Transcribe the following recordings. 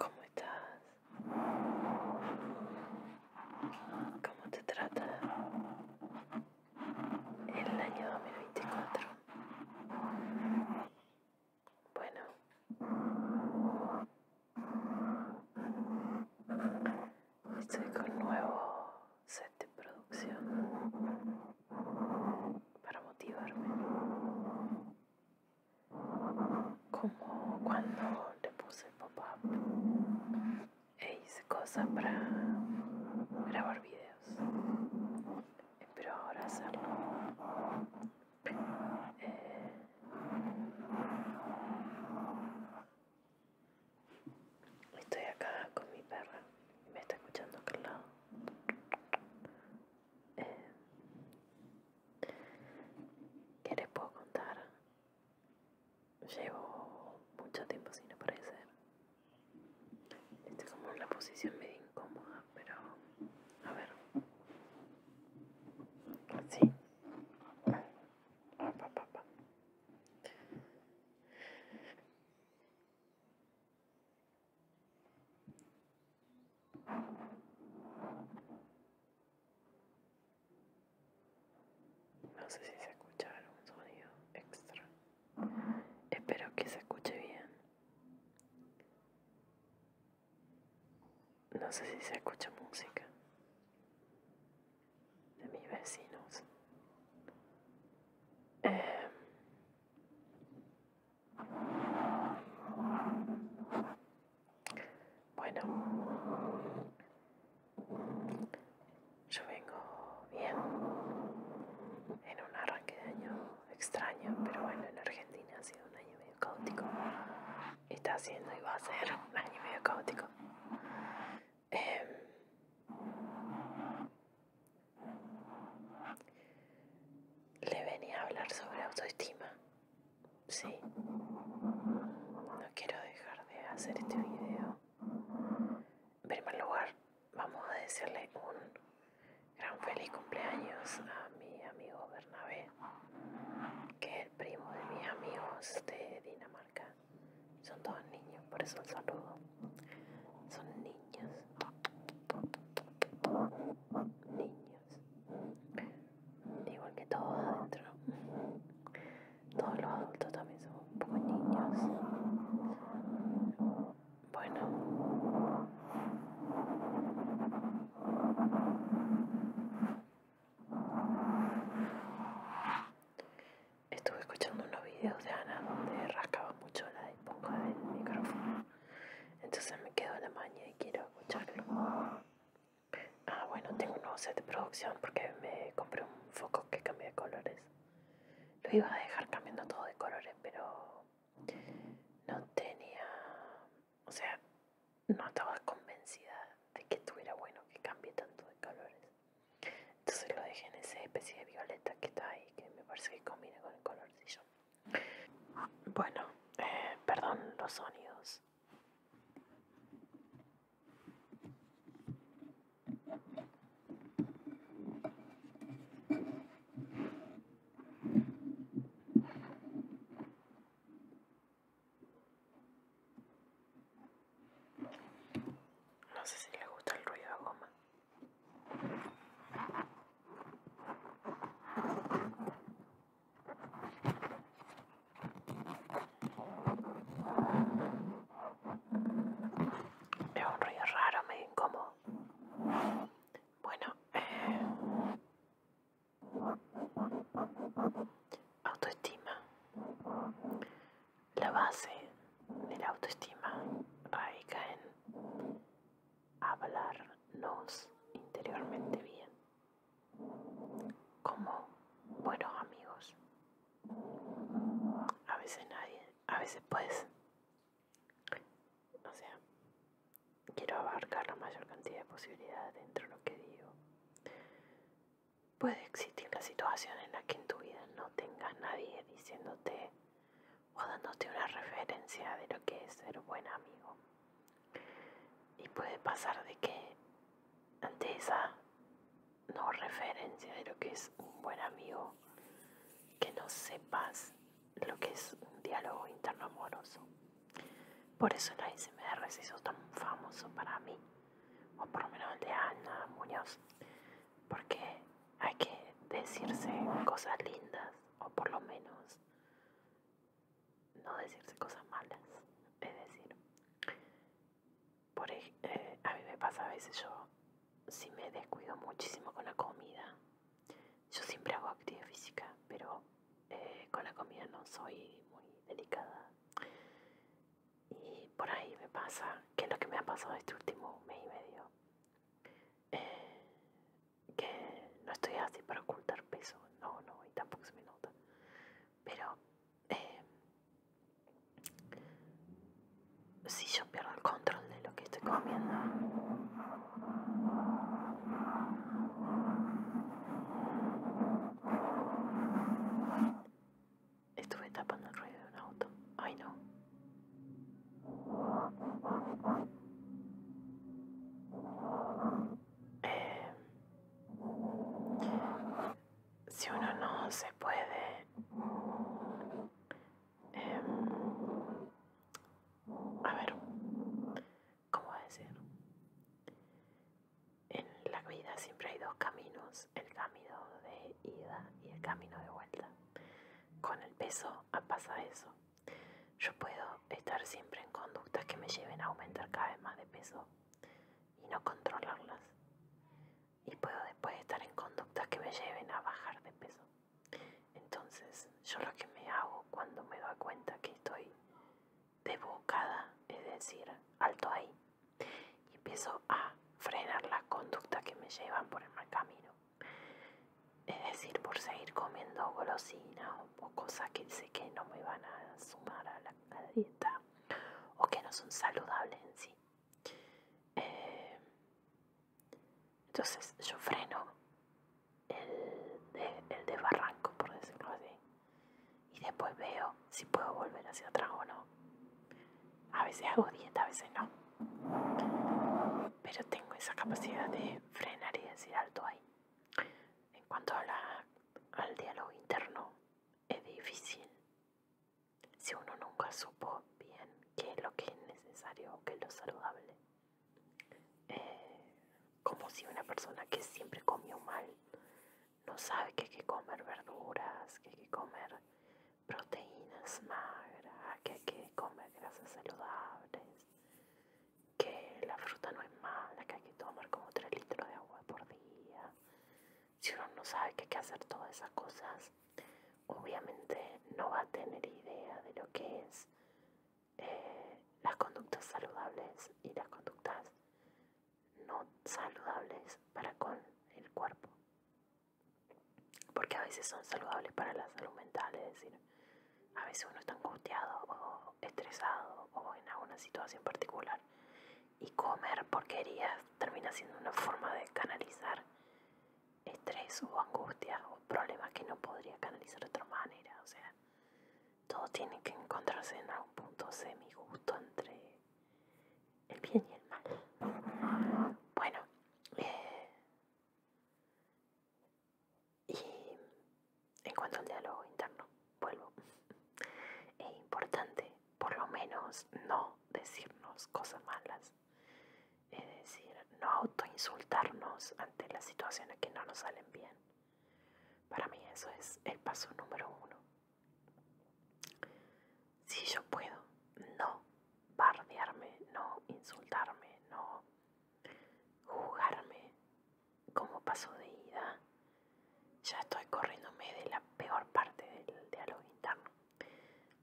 ¿Cómo estás? ¿Cómo te trata el año 2024? Bueno, estoy con nuevo set de producción para motivarme como cuando le puse pop-up e hice cosas para grabar videos. Espero ahora hacerlo. Eh, estoy acá con mi perra y me está escuchando acá lado. Eh, ¿Qué les puedo contar? Llevo mucho tiempo sin aparecer. Estoy como en la posición medio incómoda, pero a ver. Sí. No sé si se escucha algún sonido extra. Espero que se escuche bien. No sé si se escucha música de mis vecinos. Em, bueno, yo vengo bien en un arranque de año extraño, pero bueno, en Argentina ha sido un año medio caótico. Está siendo y va a ser un año medio caótico. Em, le venía a hablar sobre autoestima Sí. No quiero dejar de hacer este video. En primer lugar, vamos a decirle un gran feliz cumpleaños a mi amigo Bernabé, que es el primo de mis amigos de Dinamarca. Son todos niños, por eso el saludo. Son niños. Niños. Igual que todos adentro. Todos los adultos también somos un poco niños. Bueno. Estuve escuchando unos videos de Ana donde rascaba mucho la época del micrófono entonces me quedo en la maña y quiero escucharlo. Ah, bueno, tengo un nuevo set de producción porque me compré un foco que cambia de colores. Lo iba a dejar cambiando todo de colores, pero no tenía, o sea, no estaba convencida de que estuviera bueno que cambie tanto de colores. Entonces lo dejé en esa especie de violeta que está ahí, que me parece que combina con el colorcillo. Bueno, eh, perdón los sonidos. No sé si le gusta el ruido de goma. Es un ruido raro, me incómodo. Bueno, eh, autoestima. La base de la autoestima radica en hablarnos interiormente bien, como buenos amigos. A veces nadie, a veces puedes o sea, quiero abarcar la mayor cantidad de posibilidades dentro de lo que digo. Puede existir la situación en la que en tu vida no tengas nadie diciéndote o dándote una referencia de lo que es ser buen amigo. Y puede pasar de que ante esa no referencia de lo que es un buen amigo, que no sepas lo que es un diálogo interno amoroso. Por eso el ASMR se hizo tan famoso para mí, o por lo menos de Ana Muñoz, porque hay que decirse cosas lindas, o por lo menos no decirse cosas malas. Es decir, por, eh, a mí me pasa a veces yo, si me descuido muchísimo con la comida, yo siempre hago actividad física, pero eh, con la comida no soy muy delicada. Y por ahí me pasa, que es lo que me ha pasado este último mes y medio, eh, que no estoy así para ocultar peso, no, no, y tampoco se me nota. Pero eh, si yo pierdo el control de lo que estoy comiendo, estuve tapando el ruido de un auto. Ay no. Eh, si uno no se puede em, a ver cómo decir en la vida siempre hay dos caminos el camino de ida y el camino de vuelta con el peso pasa eso yo puedo estar siempre en conductas que me lleven a aumentar cada vez más de peso y no controlarlas. Y puedo después estar en conductas que me lleven a bajar de peso. Entonces, yo lo que me hago cuando me doy cuenta que estoy debocada, es decir, alto ahí, y empiezo a frenar las conductas que me llevan por el mal camino. Es decir, por seguir comiendo golosinas o cosas que sé que no me van a sumar a la, dieta o que no son saludables en sí. Eh, entonces yo freno el, de, el desbarranco, por decirlo así, y después veo si puedo volver hacia atrás o no. A veces hago dieta, a veces no pero tengo esa capacidad de frenar y decir alto ahí. En cuanto a al diálogo interno, es difícil si uno nunca supo bien qué es lo que es necesario o qué es lo saludable. Eh, como si una persona que siempre comió mal no sabe que hay que comer verduras, que hay que comer proteínas magras, que hay que comer grasas saludables, que la fruta no es mala, que hay que tomar como 3 litros de agua por día. Si uno no sabe que hay que hacer todas esas cosas, obviamente no va a tener idea de lo que es eh, las conductas saludables y las conductas no saludables para con el cuerpo porque a veces son saludables para la salud mental, es decir, a veces uno está angustiado o estresado o en alguna situación particular y comer porquerías termina siendo una forma de canalizar estrés o angustia o problemas que no podría canalizar de otra manera, o sea, todo tiene que encontrarse en algún punto semi justo entre el bien y el mal. Bueno, eh, y en cuanto al diálogo interno, vuelvo. Es importante, por lo menos, no decirnos cosas malas. Es decir, no autoinsultarnos ante las situaciones que no nos salen bien. Para mí eso es el paso número uno. Si yo puedo no bardearme, no insultarme, no jugarme como paso de ida. Ya estoy corriéndome de la peor parte del diálogo interno.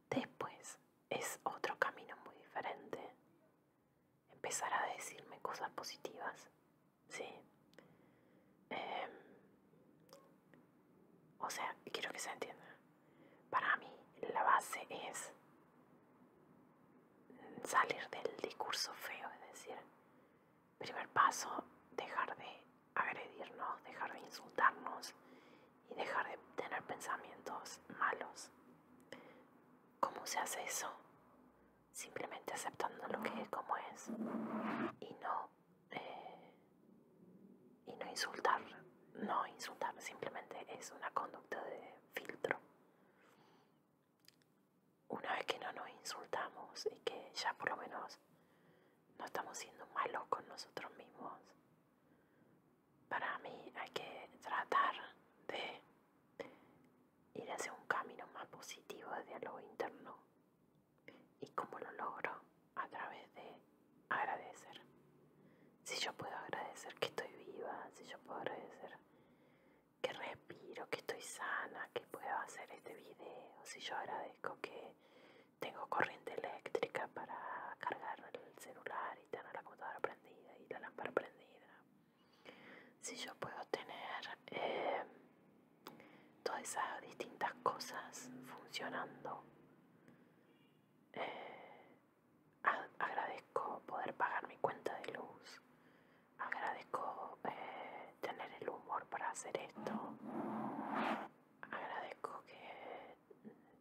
Después es otro camino muy diferente. Empezar a decirme cosas positivas, ¿sí? Em, o sea, quiero que se entienda. Para mí la base es salir del discurso feo, es decir, primer paso, dejar de agredirnos, dejar de insultarnos y dejar de tener pensamientos malos. ¿Cómo se hace eso? Simplemente aceptando lo que es como es y no eh, y no insultar, no insultar, simplemente es una conducta de filtro. Una vez que no nos insultamos y que ya por lo menos no estamos siendo malos con nosotros mismos, para mí hay que tratar de ir hacia un camino más positivo de diálogo interno. ¿Y cómo lo logro? a través de agradecer. Si yo puedo agradecer que estoy viva, si yo puedo agradecer que respiro, que estoy sana, que puedo hacer este video, si yo agradezco que tengo corriente eléctrica para cargar el celular y tener la computadora prendida y la lámpara prendida, si yo puedo tener eh, todas esas distintas cosas funcionando. Eh, agradezco poder pagar mi cuenta de luz, agradezco eh, tener el humor para hacer esto, agradezco que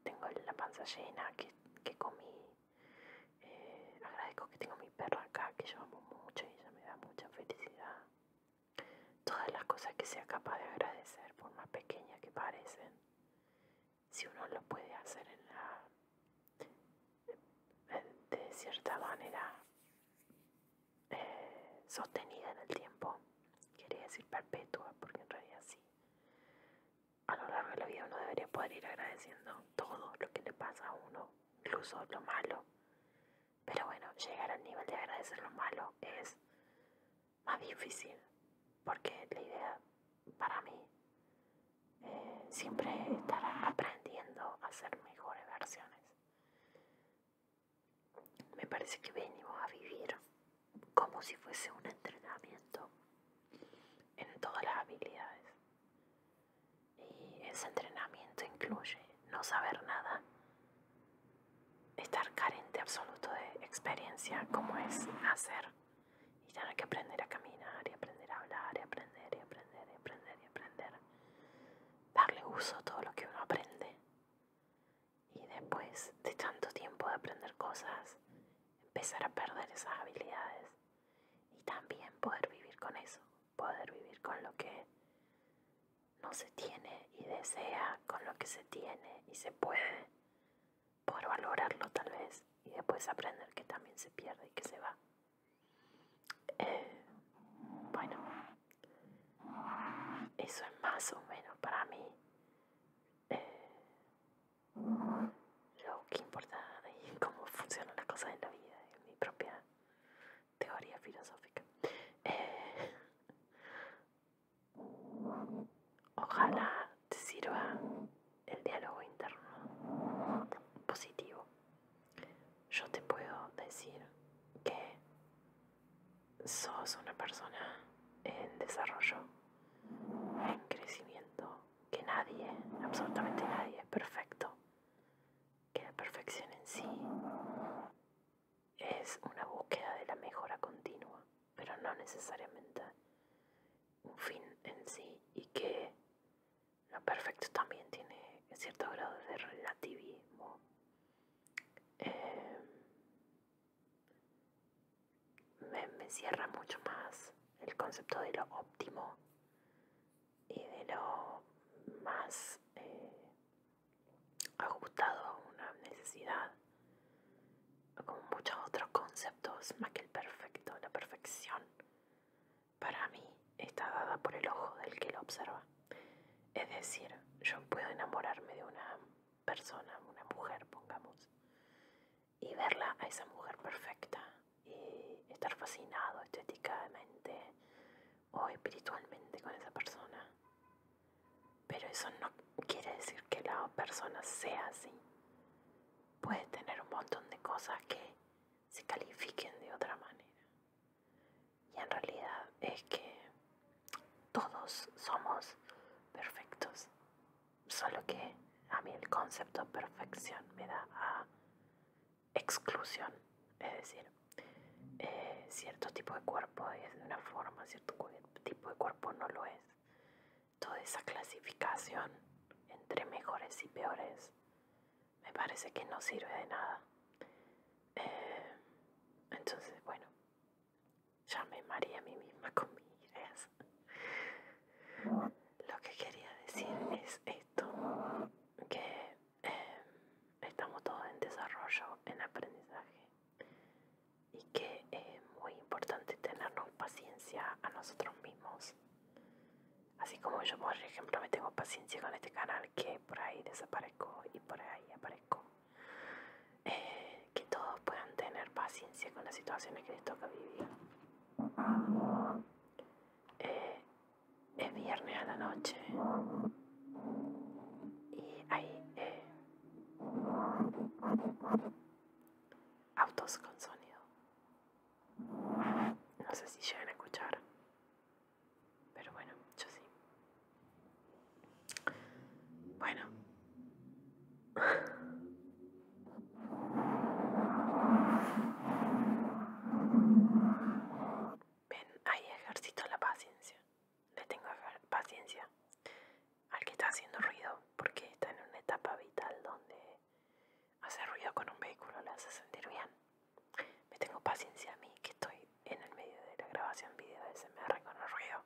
tengo la panza llena, que, comí, eh, agradezco que tengo mi perro acá, que yo amo mucho y ella me da mucha felicidad. Todas las cosas que sea capaz de agradecer, por más pequeñas que parecen, si uno lo puede hacer en la, de, cierta manera eh, sostenida en el tiempo, quería decir perpetua, porque en realidad sí, a lo largo de la vida uno debería poder ir agradeciendo todo lo que le pasa a uno, incluso lo malo. Pero bueno, llegar al nivel de agradecer lo malo es más difícil, porque la idea para mí eh, siempre estar aprendiendo a ser mejores versiones. Me parece que venimos a vivir como si fuese un entrenamiento en todas las habilidades. Y ese entrenamiento incluye no saber nada estar carente absoluto de experiencia como es hacer y tener que aprender a caminar y aprender a hablar y aprender y aprender y aprender y aprender darle uso a todo lo que uno aprende y después de tanto tiempo de aprender cosas empezar a perder esas habilidades y también poder vivir con eso poder vivir con lo que no se tiene y desea con lo que se tiene y se puede por valorarlo tal vez y después aprender que también se pierde y que se va. Eh, bueno, eso es más o menos para mí eh, lo que importa y cómo funcionan las cosas en la vida, en mi propia teoría filosófica. Eh, Ojalá te sirva el diálogo interno positivo. Yo te puedo decir que sos una persona en desarrollo, en crecimiento, que nadie, absolutamente nadie es perfecto, que la perfección en sí es una búsqueda de la mejora continua, pero no necesariamente un fin en sí y que lo perfecto también tiene cierto grado de relativismo. Em, me, encierra cierra mucho más el concepto de lo óptimo y de lo más eh, ajustado a una necesidad, como muchos otros conceptos, más que el perfecto, la perfección, para mí está dada por el ojo del que lo observa. Es decir, yo puedo enamorarme de una persona, una mujer, pongamos, y verla a esa mujer perfecta y estar fascinado estéticamente o espiritualmente con esa persona pero eso no quiere decir que la persona sea así. Puede tener un montón de cosas que se califiquen de otra manera. Y en realidad es que todos somos perfectos. Solo que a mí el concepto de perfección me da a exclusión. Es decir, eh, cierto tipo de cuerpo es de una forma, cierto tipo de cuerpo, no lo es. Toda esa clasificación entre mejores y peores me parece que no sirve de nada. Eh, entonces, bueno, ya me maría a mí misma con mis ideas. Lo que quería decir es esto, que eh, estamos todos en desarrollo, en aprendizaje y que es muy importante tenernos paciencia a nosotros mismos. Así como yo, por ejemplo, me tengo paciencia con este canal que por ahí desaparezco y por ahí aparezco. Eh, que todos puedan tener paciencia con las situaciones que les toca vivir. Eh, es viernes a la noche y ahí Autos con sonido. No sé si llegan a escuchar. Pero bueno, yo sí. Bueno. Ven, ahí ejercito la paciencia le tengo paciencia al que está haciendo ruido porque está en una etapa vital donde hacer ruido con un vehículo le hace sentir bien. Me tengo paciencia a mí que estoy en el medio de la grabación video ese me con el ruido.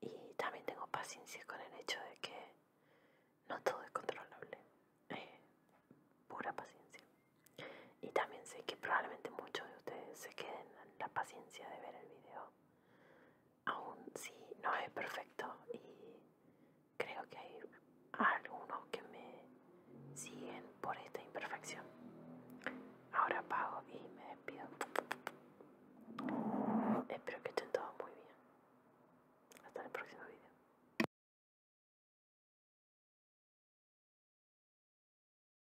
Y también tengo paciencia con el hecho de que no todo es controlable. Eh, pura paciencia. Y también sé que probablemente muchos de ustedes se queden la paciencia de ver el video. Aún si no es perfecto y creo que hay algunos que me siguen por esta imperfección. Ahora apago y me despido. Espero que estén todos muy bien. Hasta el próximo video.